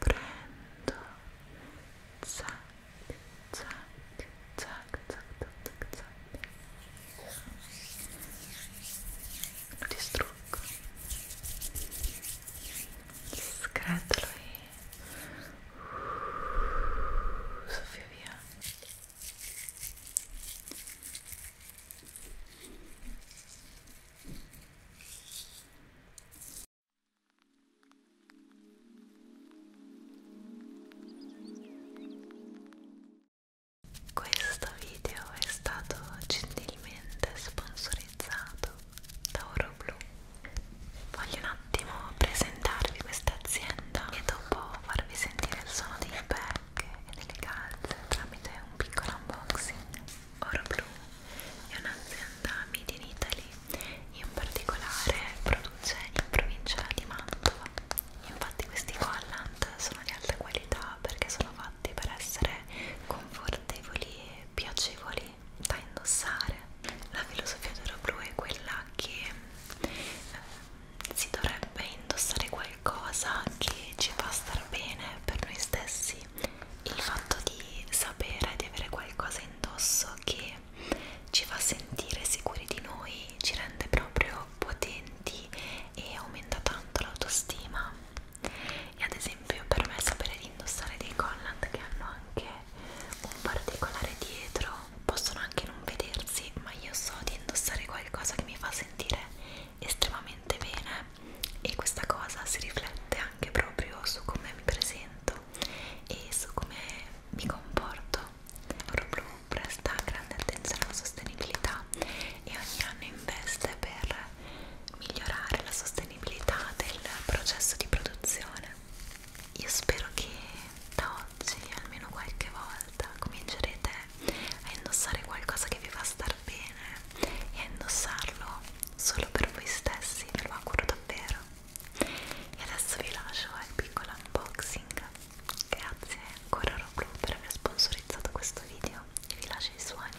Prendo zac, zac, zac, zac, zac, zac. Lo distruggo. Scratolo e Uh, soffia via questo video è stato gentilmente sponsorizzato da Oro Blu Voglio un attimo presentarvi questa azienda e dopo farvi sentire il suono dei pack e delle calze tramite un piccolo unboxing. Oro Blu è un'azienda made in Italy, in particolare produce in provincia di Mantova. Infatti questi collant sono di alta qualità perché sono fatti per essere confortevoli e piacevoli da indossare. La filosofia d'oro blu è quella che eh, si dovrebbe indossare qualcosa che ci fa star bene per noi stessi. Il fatto di sapere di avere qualcosa indosso che ci fa sentire sicuri di noi, ci rende proprio potenti e aumenta tanto l'autostima. E ad esempio esempio per me sapere di indossare dei collant che hanno anche un particolare dietro possono anche non vedersi ma io so di indossare qualcosa che mi fa sentire estremamente bene e questa cosa si riflette anche proprio su come mi presento e su come mi comporto Oroblu presta grande attenzione alla sostenibilità e ogni anno investe per migliorare la sostenibilità disponibilità del processo di produzione. Io spero che da oggi, almeno qualche volta, comincerete a indossare qualcosa che vi fa star bene e a indossarlo solo per voi stessi, ve lo auguro davvero. E adesso vi lascio al piccolo unboxing. Grazie ancora Roblu per aver sponsorizzato questo video e vi lascio i suoni.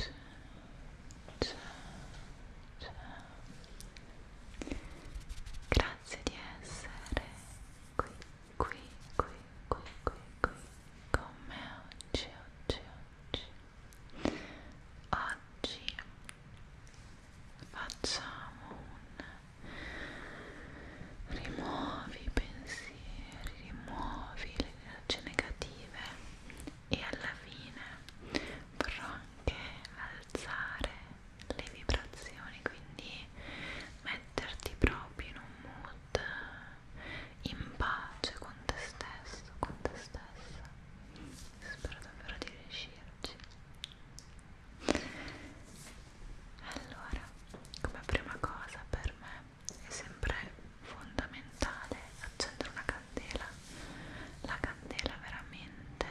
Ciao, ciao, ciao. Grazie di essere qui, qui, qui, qui, qui, qui con me oggi, oggi, oggi. Oggi facciamo un rimuovi i pensieri, rimuovi le energie negative e alla fine vorrò anche alzare le vibrazioni, quindi metterti proprio in un mood in pace con te stesso, con te stessa. Spero davvero di riuscirci. Allora, come prima cosa per me è sempre fondamentale accendere una candela. La candela veramente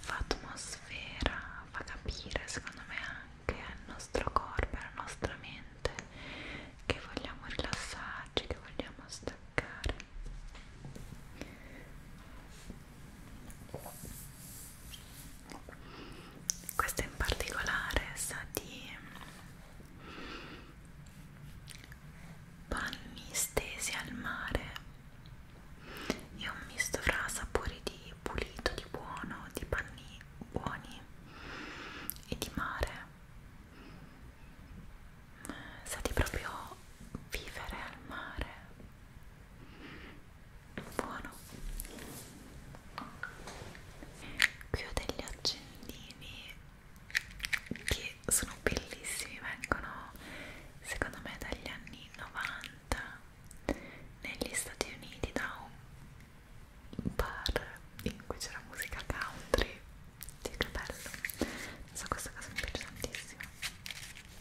fa atmosfera, fa capire secondo me anche al nostro corpo e alla nostra mente che vogliamo rilassarci, che vogliamo staccare questa in particolare sa di panni stesi al mare è un misto fra sapori di pulito, di buono, di panni buoni e di mare sa di proprio vivere al mare buono qui ho degli accendini che sono bellissimi vengono secondo me dagli anni 90 negli Stati Uniti da un bar in cui c'era musica country sì che bello non so questa cosa mi piace tantissimo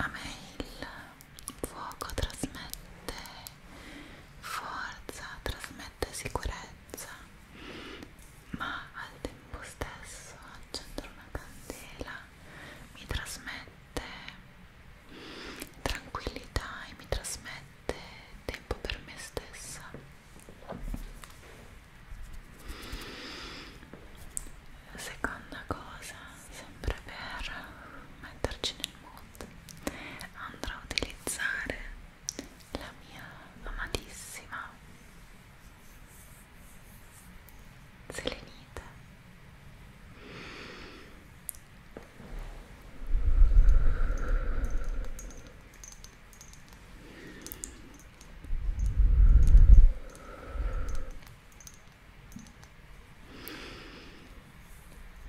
a me il fuoco trasmette forza, trasmette sicurezza ma al tempo stesso accendere una candela mi trasmette tranquillità e mi trasmette tempo per me stessa seconda cosa sempre per metterci nel mood andrò a utilizzare la mia amatissima selenite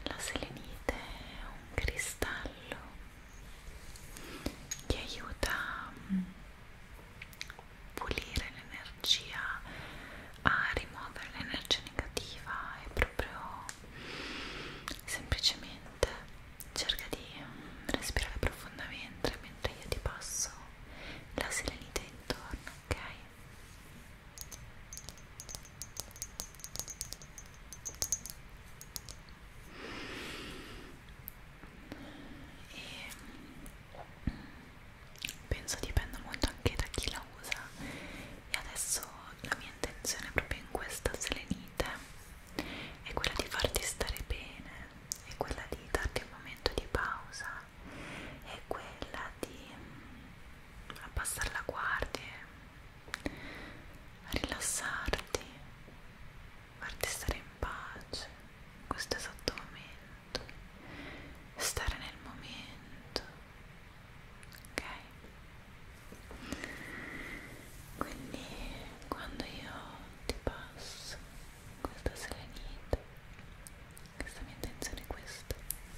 la selenite è un cristallo che aiuta a mm, pulire l'energia, a rimuovere l'energia negativa e proprio semplicemente cerca di mm, respirare profondamente mentre io ti passo la selenite intorno, ok? E penso dipenda molto anche da chi la usa e adesso la mia intenzione proprio in questa selenite è quella di farti stare bene è quella di darti un momento di pausa è quella di mm, abbassare la guardia, rilassarti, farti stare in pace in questo esatto momento, stare nel momento, ok? Quindi quando io ti passo questa serenità questa mia intenzione è questa anche dietro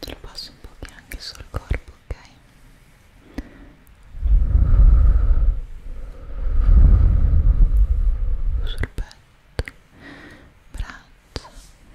te lo passo un po' anche sul corpo ok sul petto braccia Sul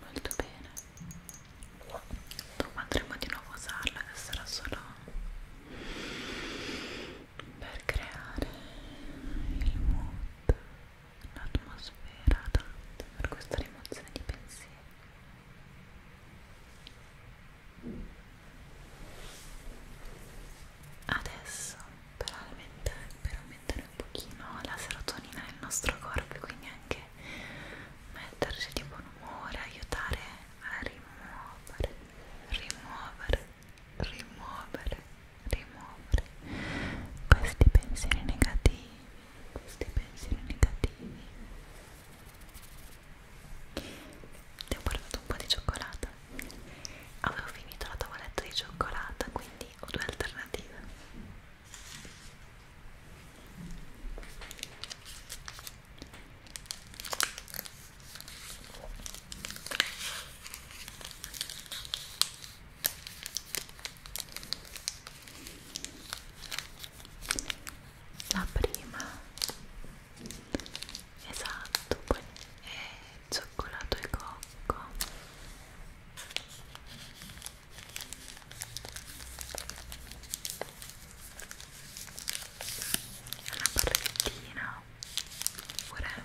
molto bene dopo andremo di nuovo a usarla che sarà solo per creare il mood l'atmosfera per questa rimozione di pensieri Adesso per aumentare, per aumentare un pochino la serotonina nel nostro corpo, quindi anche metterci di buon umore, aiutare a rimuovere, rimuovere, rimuovere, rimuovere questi pensieri negativi, questi pensieri negativi. Ti ho portato un po' di cioccolata avevo finito la tavoletta di cioccolata quindi ho due alternative la prima esatto poi è cioccolato e cocco una barrettina pure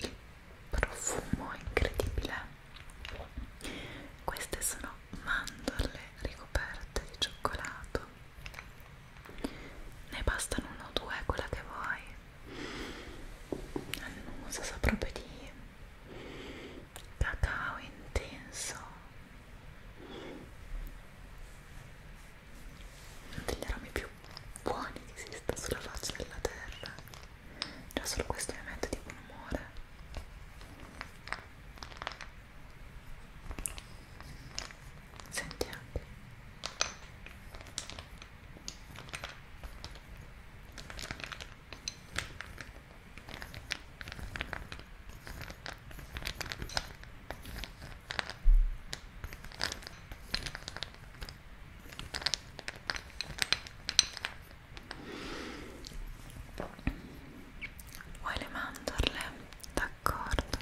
il profumo incredibile queste sono mandorle ricoperte di cioccolato ne bastano uno o due quella che vuoi annusa sa proprio di cacao intenso uno degli aromi più buoni che esista sulla faccia della terra già solo questo mi mette di buon umore senti anche Vuoi le mandorle? D'accordo.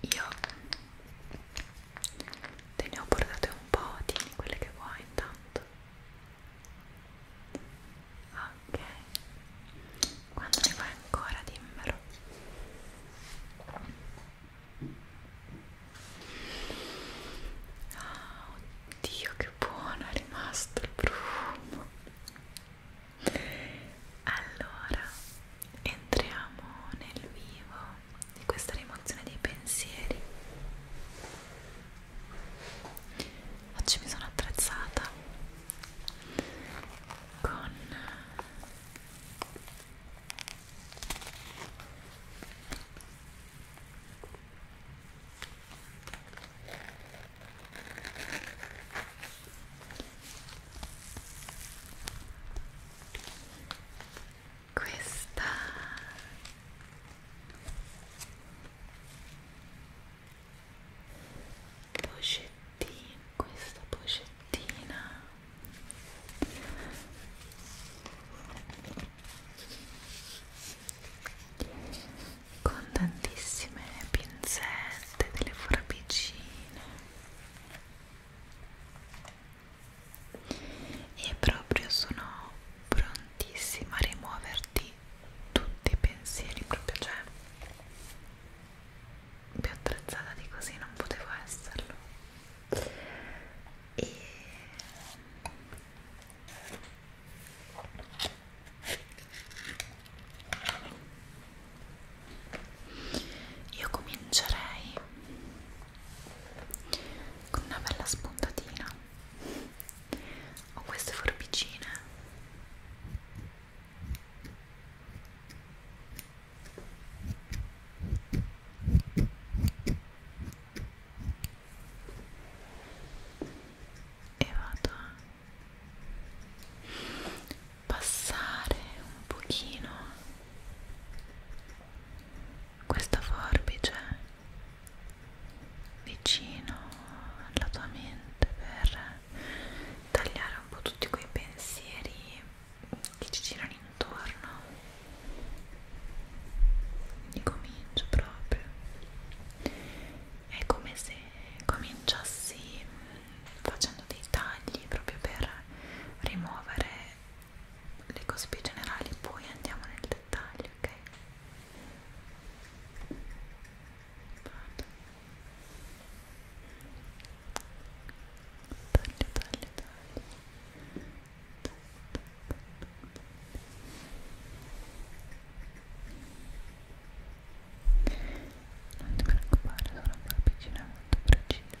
Io te ne ho portate un po', tieni quelle che vuoi intanto ok quando ne fai ancora dimmelo oh, oddio che buono è rimasto il profumo allora entriamo nel vivo di questa rimozione dei pensieri oggi mi sono attrezzata con questa pochettina questa pochettina con tantissime pinzette delle forbicine e proprio sono prontissima a rimuoverti tutti i pensieri proprio cioè più attrezzata di così non potevo esserlo e io comincerei con una bella spuntatina ho queste forbicine e vado a passare un pochino questa forbice vicino alla tua mente per tagliare un po' tutti quei pensieri che ci girano intorno quindi comincio proprio è come se cominciassi facendo dei tagli proprio per rimuovere le cose più generali poi andiamo nel dettaglio ok Vado taglio, taglio, taglio non ti preoccupare, sono una piccina molto precisa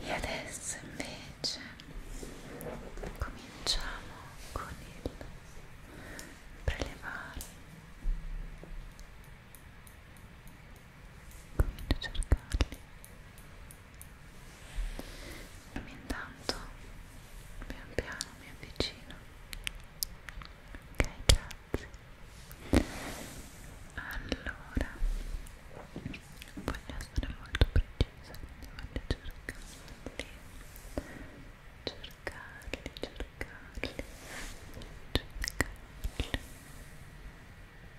E adesso invece cominciamo con il prelevare comincio a cercarli intanto pian piano mi avvicino ok grazie allora voglio essere molto precisa quindi voglio cercarli cercarli cercarli cercarli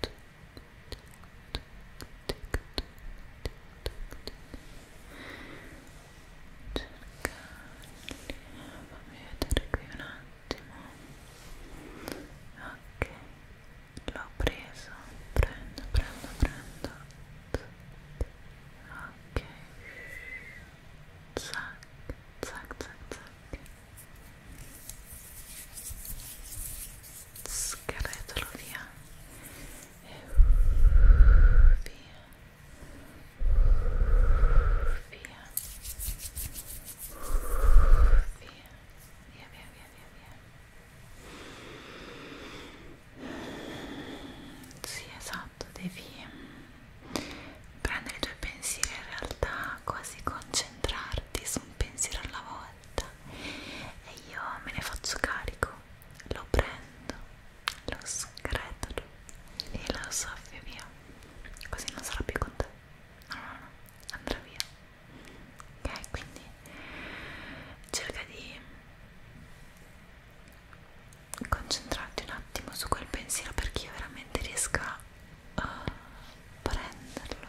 Tuc, tuc, tuc, tuc, fammi vedere ok l'ho preso prendo prendo prendo ok zac zac zac zac scarretalo via via, via, via, via. Sì, esatto, devi prendere i tuoi pensieri in realtà, quasi concentrarti su un pensiero alla volta e io me ne faccio carico, lo prendo lo scretolo e lo soffio via così non sarà più con te no no no andrà via ok quindi cerca di concentrarti un attimo su quel pensiero perché io veramente riesca a prenderlo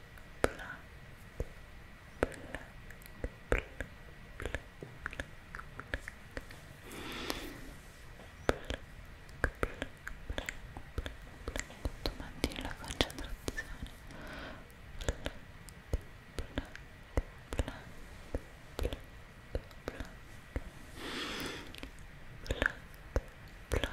black, black, black, black, black. Tu mantieni la concentrazione. Black, black, black, black, black. Black, black, black.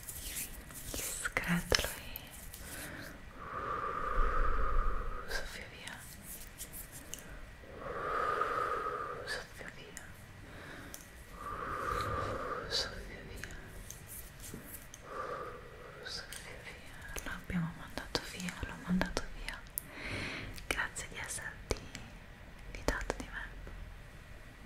scratolo e uh, soffio via uh, soffio via uh, soffio via soffio via lo abbiamo mandato via l'ho mandato via grazie di esserti fidato di me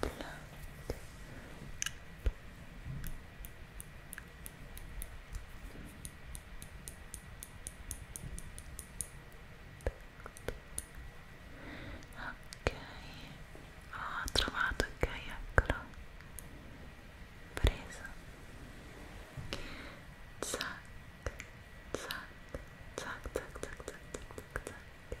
planet ok ho oh, trovato ok eccolo preso zac zac zac zac zac zac zac zac zac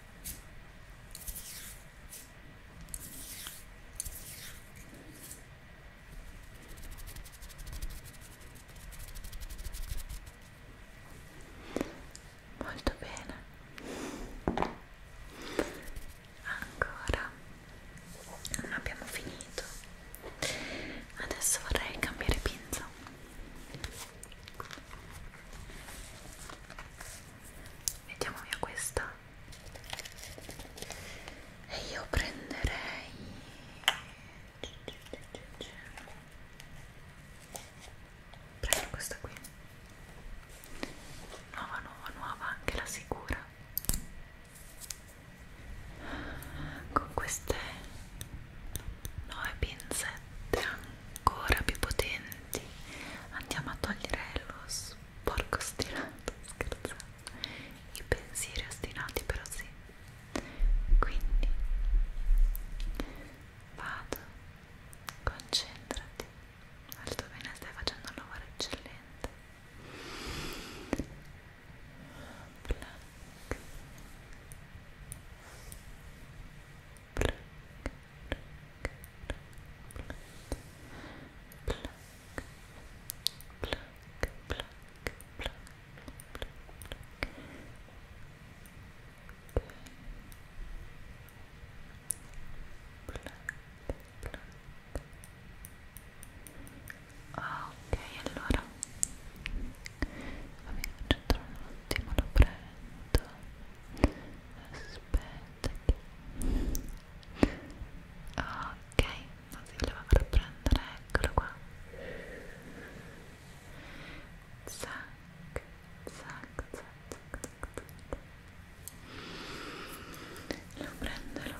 Molto bene. Ancora non abbiamo finito. Adesso vorrei cambiare pinza mettiamo via questa e io prenderei prendo questa qui nuova nuova nuova anche la sicura con queste nuove pinzette ancora più potenti andiamo a togliere lo sporco ostinato scherzando i pensieri ostinati però sì quindi vado concentrati molto bene stai facendo un lavoro eccellente Black. Ok, allora va bene, un attimo, lo prendo aspetta ok così lo vado a prendere eccolo qua zac zac zac zac zac lo prenderò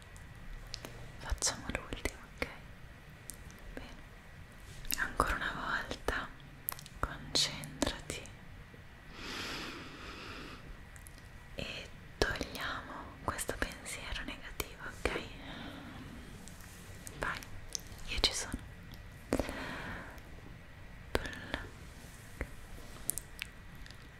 Facciamo l'ultimo, ok? Bene. Ancora una volta, concentrati e togliamo questo pensiero negativo, ok? Vai, io ci sono. Pluck.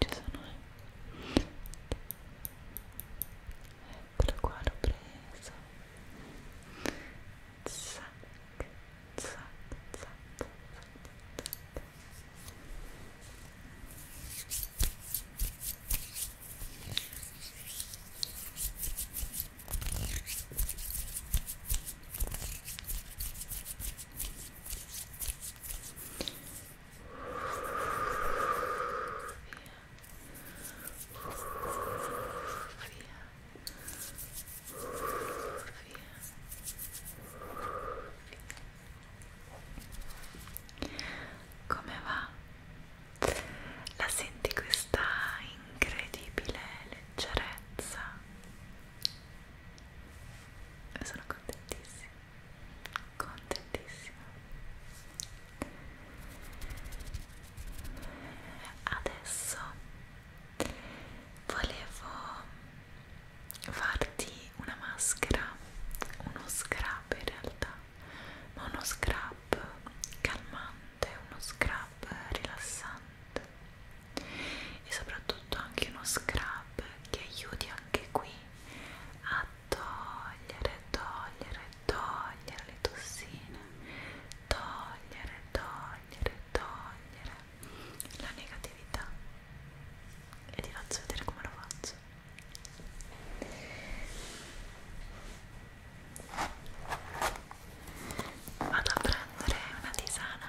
ci sono eh. eccolo qua l'ho preso zac, zac, zac, zac, zac. Come va? La senti questa incredibile leggerezza? Sono contentissima contentissima adesso volevo farti una maschera uno scrub in realtà ma uno scrub calmante uno scrub rilassante e soprattutto anche uno scrub che aiuti anche qui a togliere, togliere, togliere le tossine, togliere, togliere, togliere la negatività e ti faccio vedere come lo faccio. Vado a prendere una tisana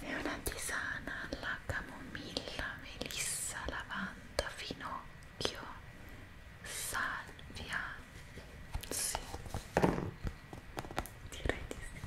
è una tisana alla camomilla, melissa, lavanda, finocchio Occhio, salvia, sì, direi di sì.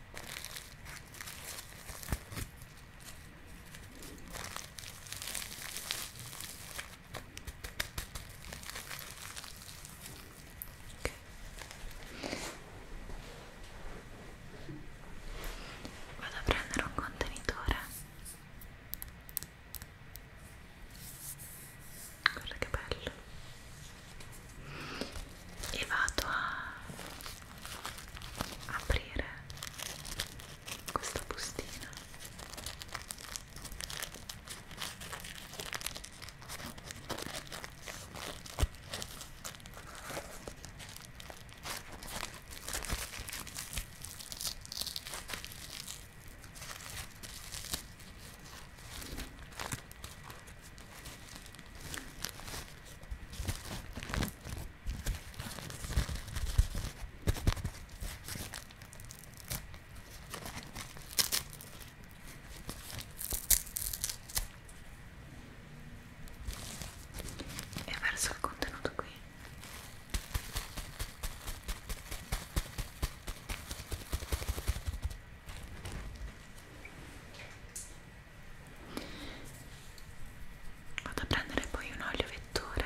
Vado a prendere un contenitore. Guarda che bello e vado a aprire questa bustina e verso il contenuto qui vado a prendere poi un olio vettore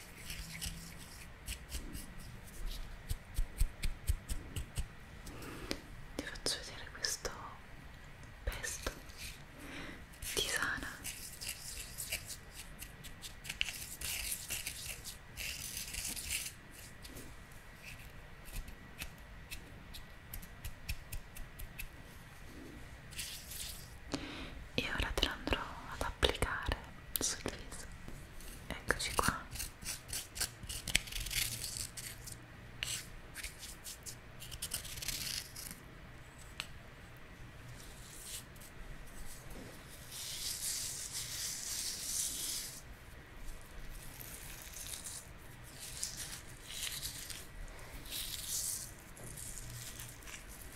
ti faccio vedere questo pesto tisana e ora te lo andrò ad applicare sul viso eccoci qua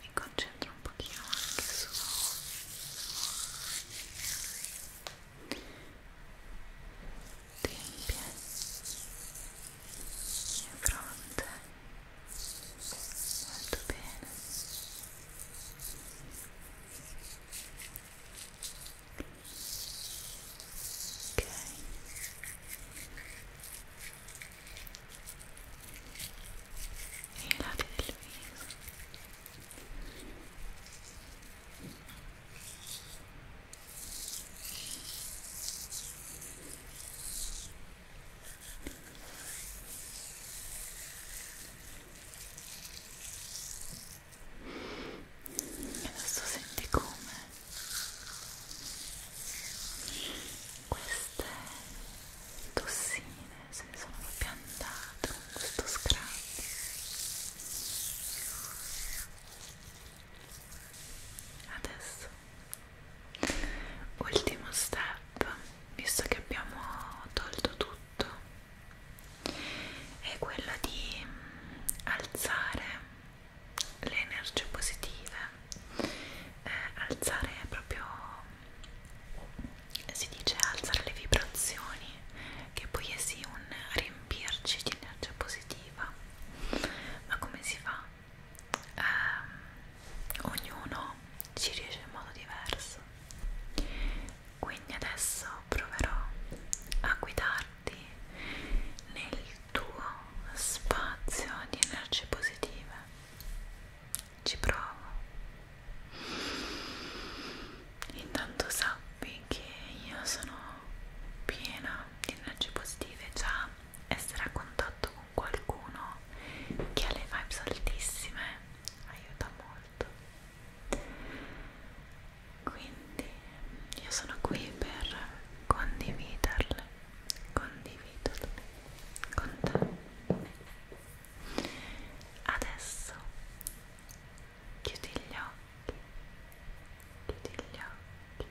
mi concentro un pochino anche su tempie e fronte molto bene ok i lati del viso e adesso senti come queste tossine se ne sono piantate con questo scrub adesso ultimo step visto che abbiamo tolto tutto è quello di mm, alzare le energie positive eh, alzare proprio si dice alzare le vibrazioni che poi è sì un riempirci di energia positiva ma come si fa? Eh, ognuno ci riesce in modo diverso quindi adesso proverò a guidarti nel tuo spazio di energie positive ci provo intanto sappi che io sono piena di energie positive già essere a contatto con qualcuno che ha le vibes altissime aiuta molto quindi io sono qui per condividerle condividerle con te Adesso chiudi gli occhi, chiudi gli occhi,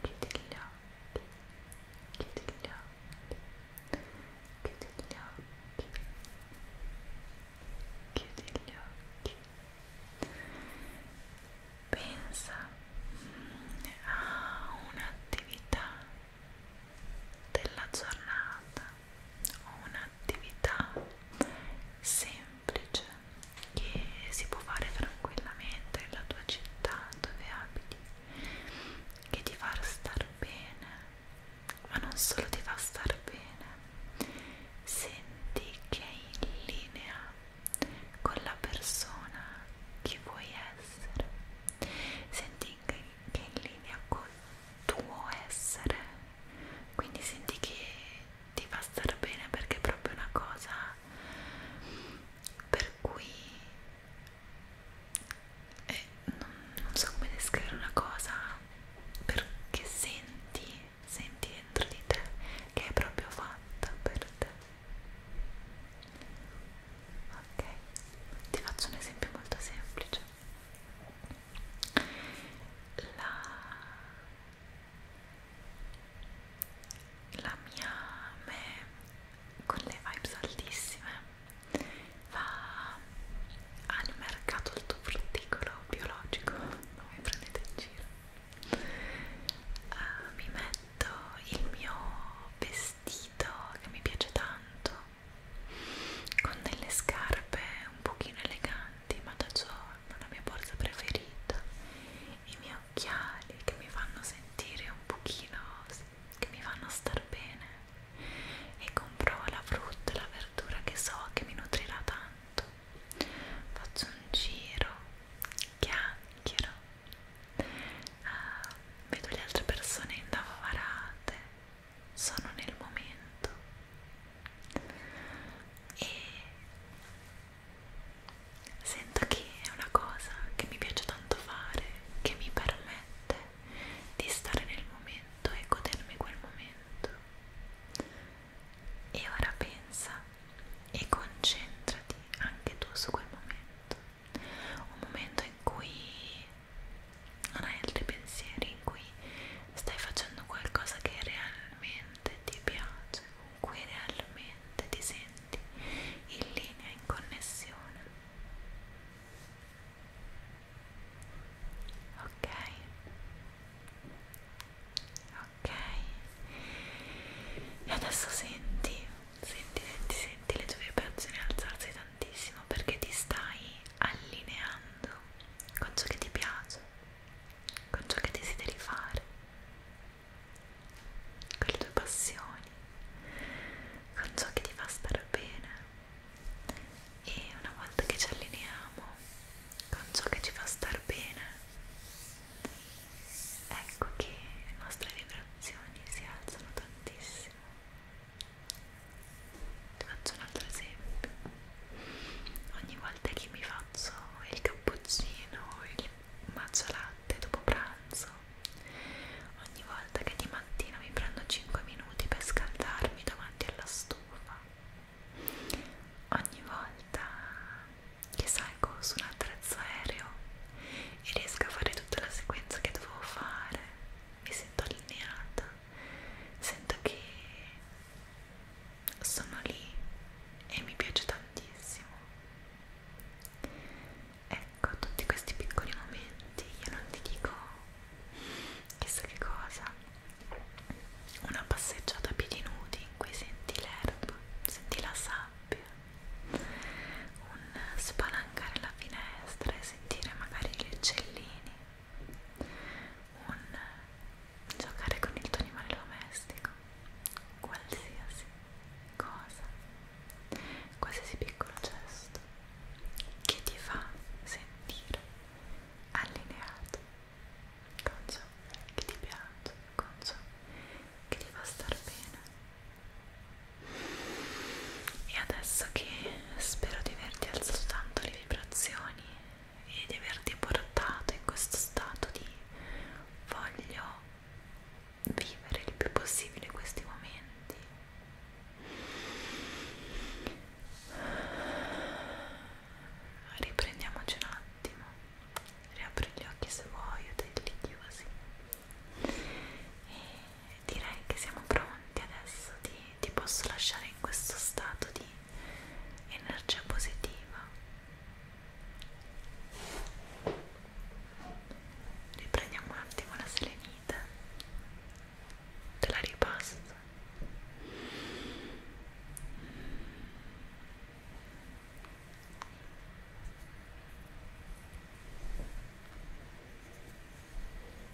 chiudi gli occhi, chiudi gli occhi, chiudi gli occhi, chiudi gli occhi. Pensa mm, a un'attività della giornata o un'attività semplice che si può fare tranquillamente nella tua città dove abiti che ti fa star bene ma non solo ti fa star bene senti che è in linea con la persona che vuoi essere senti che che è in linea col tuo essere quindi senti che ti fa star bene perché è proprio una cosa per cui eh, non, non so come descrivere una cosa perché senti senti dentro di te che è proprio fatta per te ok ti faccio un esempio molto semplice la, la mia me con le vibes altissime va al mercato il tuo frutticolo biologico non mi prendete in giro uh, mi metto il mio vestito che mi piace tanto con delle scarpe un pochino eleganti ma da giorno la mia borsa preferita i miei occhiali che mi fanno sentire un pochino che mi fanno star bene e compro la frutta la verdura che so che mi nutrirà tanto faccio un giro chiacchiero vedo le altre persone indavarate, sono nel momento e sento che è una cosa che mi piace tanto fare, che mi permette di stare nel momento e godermi quel momento. E ora pensa e concentrati anche tu su quel momento, un momento in cui non hai altri pensieri in cui stai facendo qualcosa che realmente ti piace, con cui realmente ti senti in linea, in connessione. Ok? Ok? E adesso senti Senti, senti, senti le tue vibrazioni alzarsi tantissimo perché ti stai allineando con ciò che ti piace, con ciò che desideri fare, con le tue passioni, con ciò che ti fa stare bene. E una volta che ci allineiamo con ciò che ci fa star bene, ecco che le nostre vibrazioni si alzano tantissimo ti faccio un altro esempio ogni volta che mi faccio il cappuccino il matcha latte dopo pranzo ogni volta che di mattina mi prendo 5 minuti per scaldarmi davanti alla stufa ogni volta che salgo su un attrezzo aereo e riesco a fare tutta la sequenza che dovevo fare mi sento sottolineata sento che sono lì e mi piace tantissimo ecco tutti questi piccoli momenti io non ti dico chissà che cosa una passeggiata a piedi nudi in cui senti l'erba senti la sabbia un spalancare la finestra e sentire magari gli uccellini, un giocare con il tuo animale domestico, qualsiasi cosa, qualsiasi piccolo gesto che ti fa sentire allineato con ciò che ti piace, con ciò che ti fa star bene e adesso che spero di averti alzato tanto le vibrazioni e di averti portato in questo stato di voglio vivere il più possibile questi momenti riprendiamoci un attimo riapri gli occhi se vuoi o te li chiusi e direi che siamo pronti adesso ti, ti posso lasciare in questo stato di energia positiva riprendiamo un attimo la selenita te la ripasso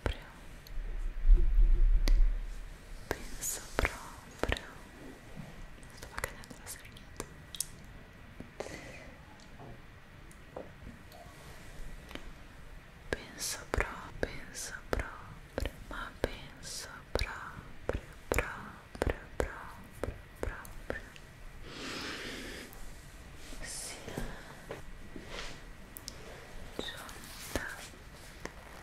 proprio penso proprio stava cadendo la serenità penso proprio penso proprio ma penso proprio proprio proprio proprio sia giunta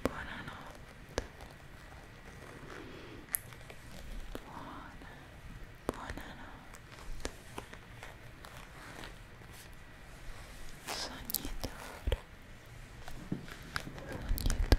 buonanotte buona buonanotte sognatore sognatore Sognatore,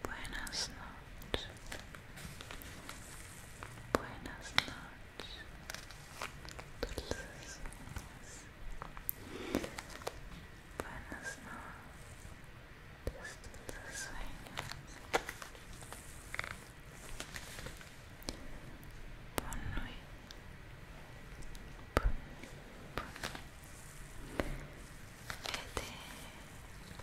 Buenas noches. Buenas noches. Dulces sueños. Buenas noches. Dulces sueños. Bonne nuit. Bonne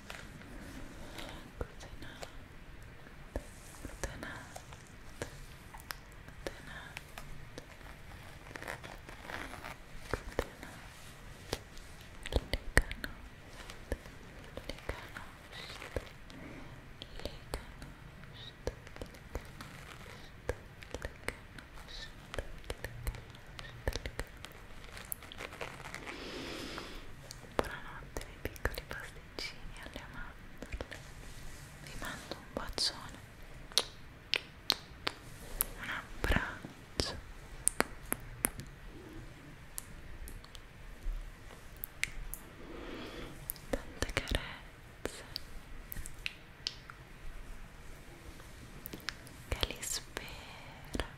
Buonanotte, miei piccoli pasti cucini alle mandorle vi mando un bacione un abbraccio tante carezze che li spera